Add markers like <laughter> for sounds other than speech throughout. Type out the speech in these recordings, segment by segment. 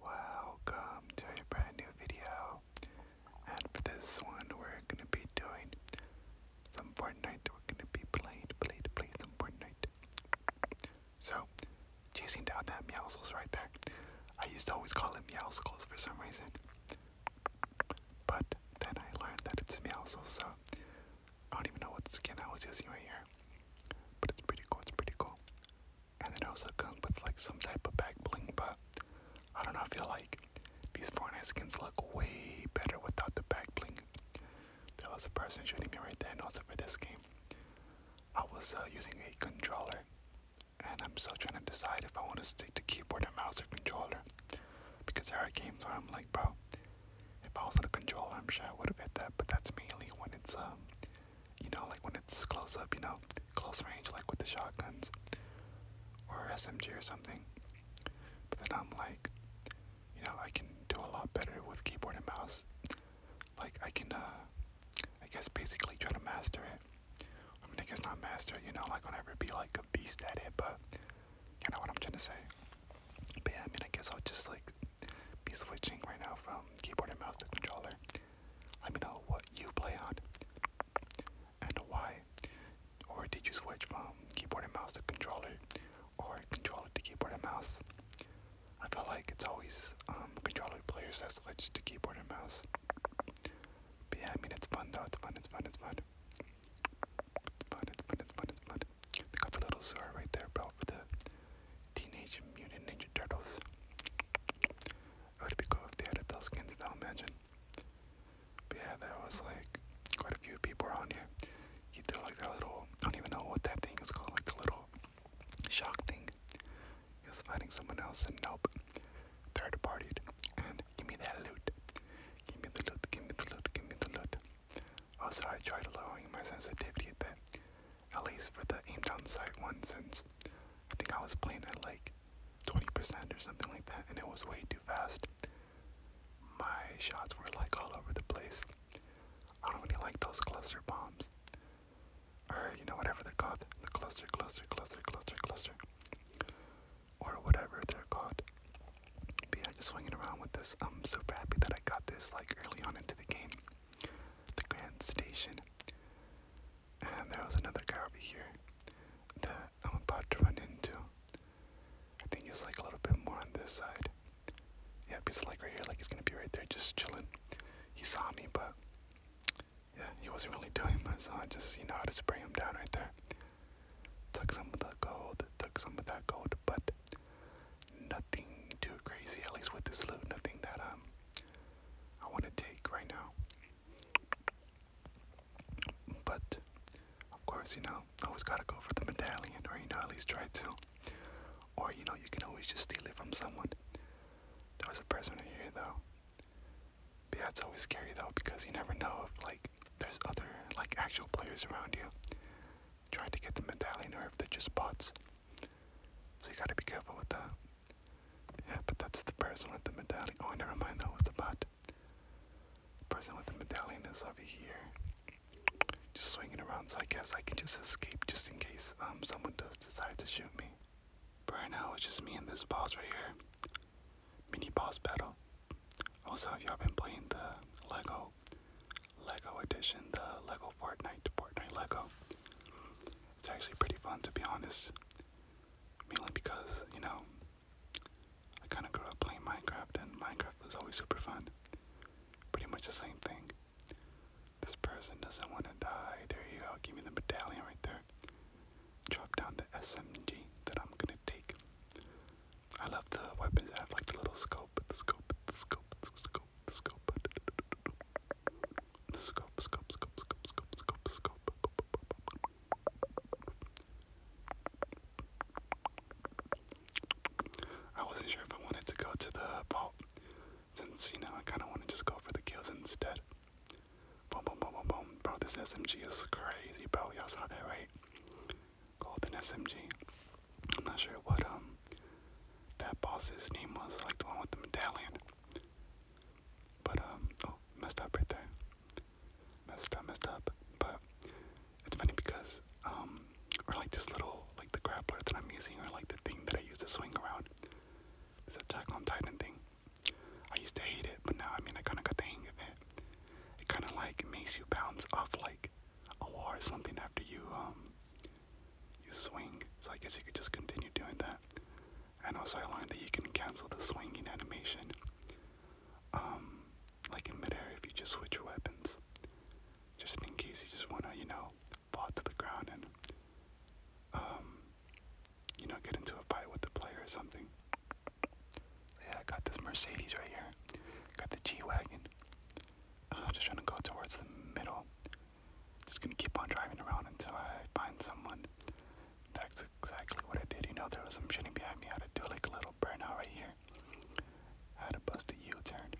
Welcome to a brand new video. And for this one, we're gonna be doing some Fortnite. We're gonna be playing, playing, playing some Fortnite. So, chasing down that Meowsles right there. I used to always call it Meowsles for some reason. But then I learned that it's Meowsles, so I don't even know what skin I was using right here. But it's pretty cool, it's pretty cool and it also comes with like some type of back bling, but I don't know, if you like these Fortnite skins look way better without the back bling. There was a person shooting me right there, and also for this game, I was uh, using a controller, and I'm still trying to decide if I want to stick to keyboard and mouse or controller, because there are games where I'm like, bro, if I was on a controller, I'm sure I would have hit that, but that's mainly when it's um you know, like when it's close up, you know, close range, like with the shotguns or SMG or something. But then I'm like, you know, I can do a lot better with keyboard and mouse. Like, I can, uh, I guess basically try to master it. I mean, I guess not master you know, like, I'll never be like a beast at it, but you know what I'm trying to say. But yeah, I mean, I guess I'll just like be switching right now from keyboard and mouse to controller. Let me know what you play on and why. Or did you switch from keyboard and mouse to controller or controller to keyboard and mouse? I feel like it's always um, controller players that switch to keyboard and mouse. But yeah, I mean, it's fun though. It's fun, it's fun, it's fun. It's fun, it's fun, it's fun, it's fun. They got the little sewer right there, bro, for the Teenage Mutant Ninja Turtles. It would be cool if they had adult skins, though, imagine. But yeah, there was like quite a few people around here. You threw like that little, I don't even know what that thing is called, like the little shock thing. He was fighting someone else, and nope, they're departed. And give me that loot. Give me the loot, give me the loot, give me the loot. Also, I tried lowering my sensitivity a bit, at least for the aim down sight one, since I think I was playing at like 20% or something like that, and it was way too fast. My shots were like all over the place. I don't really like those cluster bombs. Or, you know, whatever they're called. The cluster, cluster, cluster, cluster, cluster. Or whatever they're called yeah, just swinging around with this. I'm super happy that I got this like early on into the game. The Grand Station. And there was another guy over here that I'm about to run into. I think he's like a little bit more on this side. Yeah, he's like right here, like he's gonna be right there just chilling. He saw me, but yeah, he wasn't really doing much, so I just, you know, I just spray him down right there. Took some of the gold, took some of that gold, but nothing too crazy, at least with this loot, nothing that um I want to take right now. But of course, you know, always gotta go for the medallion, or you know, at least try to. Or you know, you can always just steal it from someone. There was a person in here though. yeah, it's always scary though because you never know if like there's other like actual players around you trying to get the medallion or if they're just bots. So you gotta be careful with that. but that's the person with the medallion. Oh, never mind, that was the bot. The person with the medallion is over here. Just swinging around, so I guess I can just escape just in case um, someone does decide to shoot me. But right now, it's just me and this boss right here. Mini boss battle. Also, have y'all been playing the Lego Lego edition, the Lego Fortnite Fortnite Lego. It's actually pretty fun to be honest. Mainly because, you know, I kinda grew up playing Minecraft and Minecraft was always super fun. Pretty much the same thing. This person doesn't want to die. There you go. Give me the medallion right there. Drop down the SMG that I'm gonna take. I love the weapons that have like the little scope, the scope, the scope, the scope, the scope, the scope, scope, scope, scope, scope, scope, scope. I wasn't sure if I wanted to go to the vault, since you know I kind of want to just go for the kills instead. Boom, boom, boom, boom, boom, bro. This SMG is crazy, bro. Y'all saw that, right? called an SMG. I'm not sure what um that boss's name was, like the one with the medallion. But um oh messed up right there. Messed up, messed up. But it's funny because um or like this little like the grappler that I'm using or like the thing that I use to swing around. It's a on Titan thing. I used to hate it, but now I mean I kinda got the hang of it. It kind of like makes you bounce off like a wall or something after you um you swing. So I guess you could just continue doing that. And also I learned that you can cancel the swinging animation, um, like in midair if you just switch weapons, just in case you just wanna you know fall to the ground and um, you know, get into a fight with the player or something. Yeah, I got this Mercedes right here. Got the G wagon. Uh, just trying to go towards the middle. Just gonna keep on driving around until I find someone. That's exactly what I did. You know, there was some shitting behind me. I had to do like a little burnout right here. I had to bust a U-turn.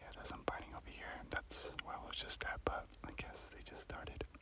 Yeah, there's some biting over here. That's where I was just at, but I guess they just started.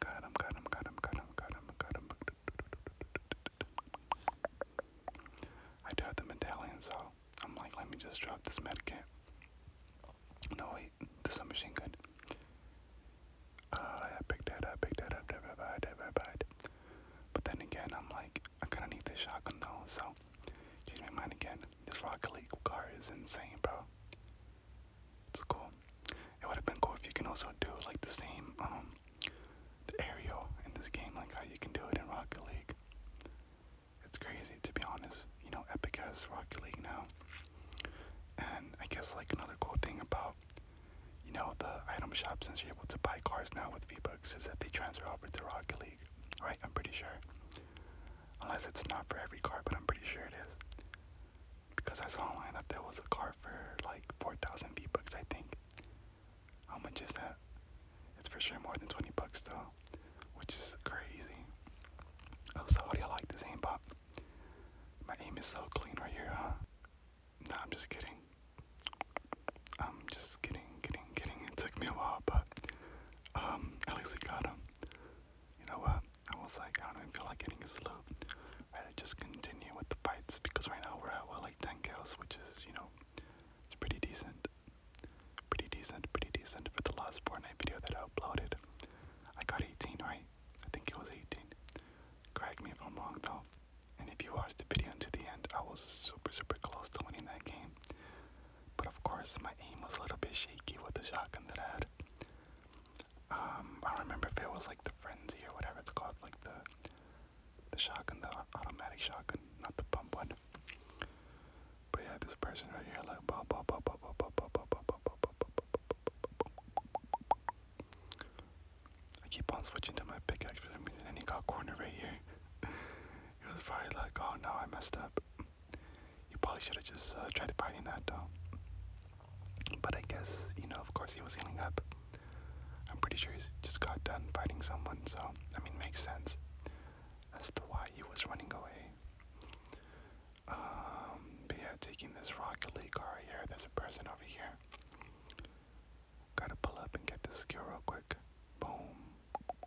Got him, got him, got him, got him, got him, got him. I do have the medallion, so I'm like, let me just drop this medkit. No, wait, this is a machine gun. Uh, I picked that up, picked that up, divide, divide. But then again, I'm like, I kind of need this shotgun though, so change my mind again. This Rocket League car is insane, bro. It's cool. It would have been cool if you can also do like the same, um, the aerial in this game, like how you can do it in Rocket League. It's crazy to be honest. You know, Epic has Rocket League now. And I guess like another cool thing about you know the item shop since you're able to buy cars now with V-Bucks is that they transfer over to Rocket League. Right, I'm pretty sure. Unless it's not for every car, but I'm pretty sure it is because I saw online that there was a car for like 4,000 V bucks, I think. How much is that? It's for sure more than 20 bucks though, which is crazy. Oh, so how do you like this aim, Bob? My aim is so clean right here, huh? No, I'm just kidding. I'm just kidding, kidding, kidding. It took me a while, but um, at least we got him you know what? I was like, I don't even feel like getting a slow. I just continue with the fights because right now we're at well like 10 kills, which is, you know, it's pretty decent. Pretty decent, pretty decent for the last Fortnite video that I uploaded. I got 18, right? I think it was 18. Correct me if I'm wrong though. And if you watched the video until the end, I was super, super close to winning that game. But of course, my aim was a little bit shaky with the shotgun that I had. Um, I don't remember if it was like the frenzy or whatever it's called, like the the shotgun, the automatic shotgun, not the pump one. But yeah, this person right here, like I keep on switching to my pickaxe for some reason, and he got cornered right here. He was probably like, "Oh no, I messed up." you probably should have just uh, tried to tried in that though. But I guess, you know, of course he was healing up. I'm pretty sure he just got done fighting someone, so, I mean, makes sense as to why he was running away. Um, yeah, taking this Rocket League car here, there's a person over here. Gotta pull up and get this skill real quick. Boom.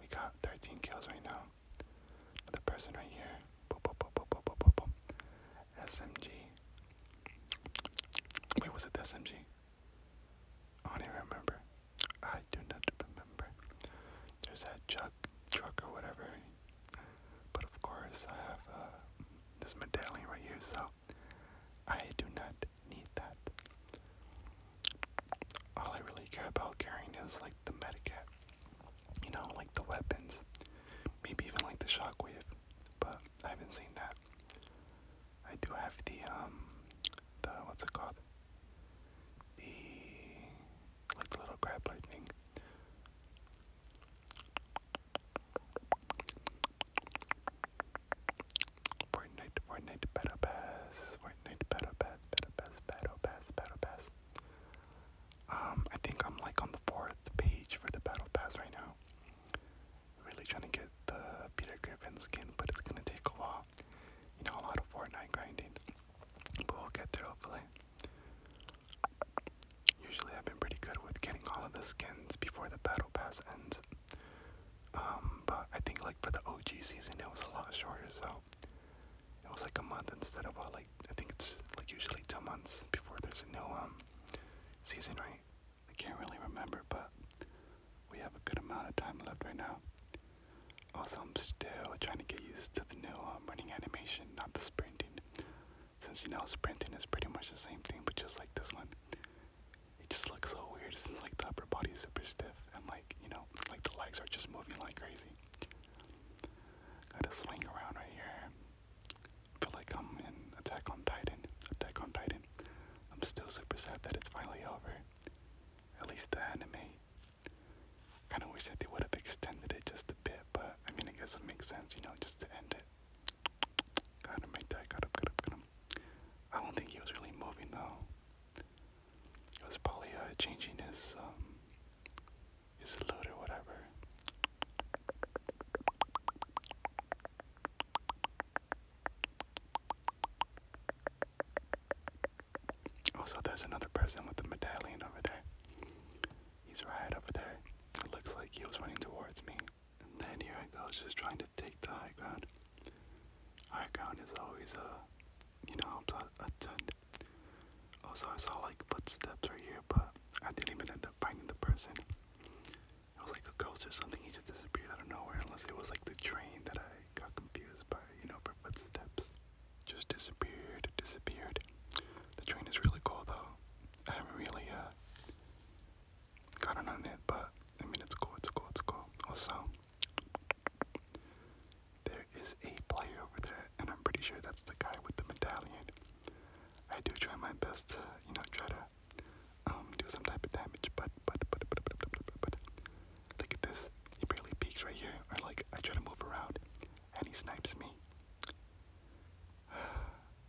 We got 13 kills right now. Another person right here. SMG. Wait, was it the SMG? I don't even remember. I do not remember. There's that chuck, truck or whatever. But of course, I have uh, this medallion right here, so I do not need that all I really care about carrying is like the medicat. You know, like the weapons. Maybe even like the shockwave. But I haven't seen that. I do have the um the what's it called? The like the little grab light Fortnite, Fortnite, Battle Pass, Fortnite, Battle Pass, Battle Pass, Battle Pass, Battle Pass. Um, I think I'm like on the fourth page for the Battle Pass right now. Really trying to get the Peter Griffin skin, but it's gonna take a while. You know, a lot of Fortnite grinding, but we'll get there hopefully. Usually, I've been pretty good with getting all of the skins before the Battle Pass ends. Um, but I think like for the OG season it was a lot shorter, so it was like a month instead of uh, like I think it's like usually two months before there's a new um season, right? I can't really remember, but we have a good amount of time left right now. Also, I'm still trying to get used to the new um, running animation, not the sprinting, since you know sprinting is pretty much the same thing, but just like this one it just looks so weird It's like the upper body is super stiff and like you know like the legs are just moving like crazy. Gotta swing around right here. Feel like I'm in Attack on Titan. Attack on Titan. I'm still super sad that it's finally over. At least the anime. Kinda wish that they would have extended it just a bit, but I mean it doesn't make sense, you know, just to end it. Gotta make that, gotta, gotta, gotta. I don't think he was really moving though. He was probably uh, changing his um, his salute or whatever. Also, there's another person with the medallion over there. He's right over there. It looks like he was running towards me. And then here I go, just trying to take the high ground. High ground is always, a, you know, helps out a ton. Also, I saw like footsteps right here, but I didn't even end up finding the person. It was like a ghost or something, he just disappeared out of nowhere, unless it was like the train that I got confused by, you know, for footsteps. Just disappeared, disappeared. The train is really cool though. I am really, uh, got it on it, but I mean, it's cool, it's cool, it's cool. Also, there is a player over there, and I'm pretty sure that's the guy with the medallion. I do try my best to, you know, try to um, do some type of damage, but, but, but, but, but, but, but, but, look at this. He barely peeks right here, or like I try to move around, and he snipes me.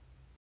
<sighs>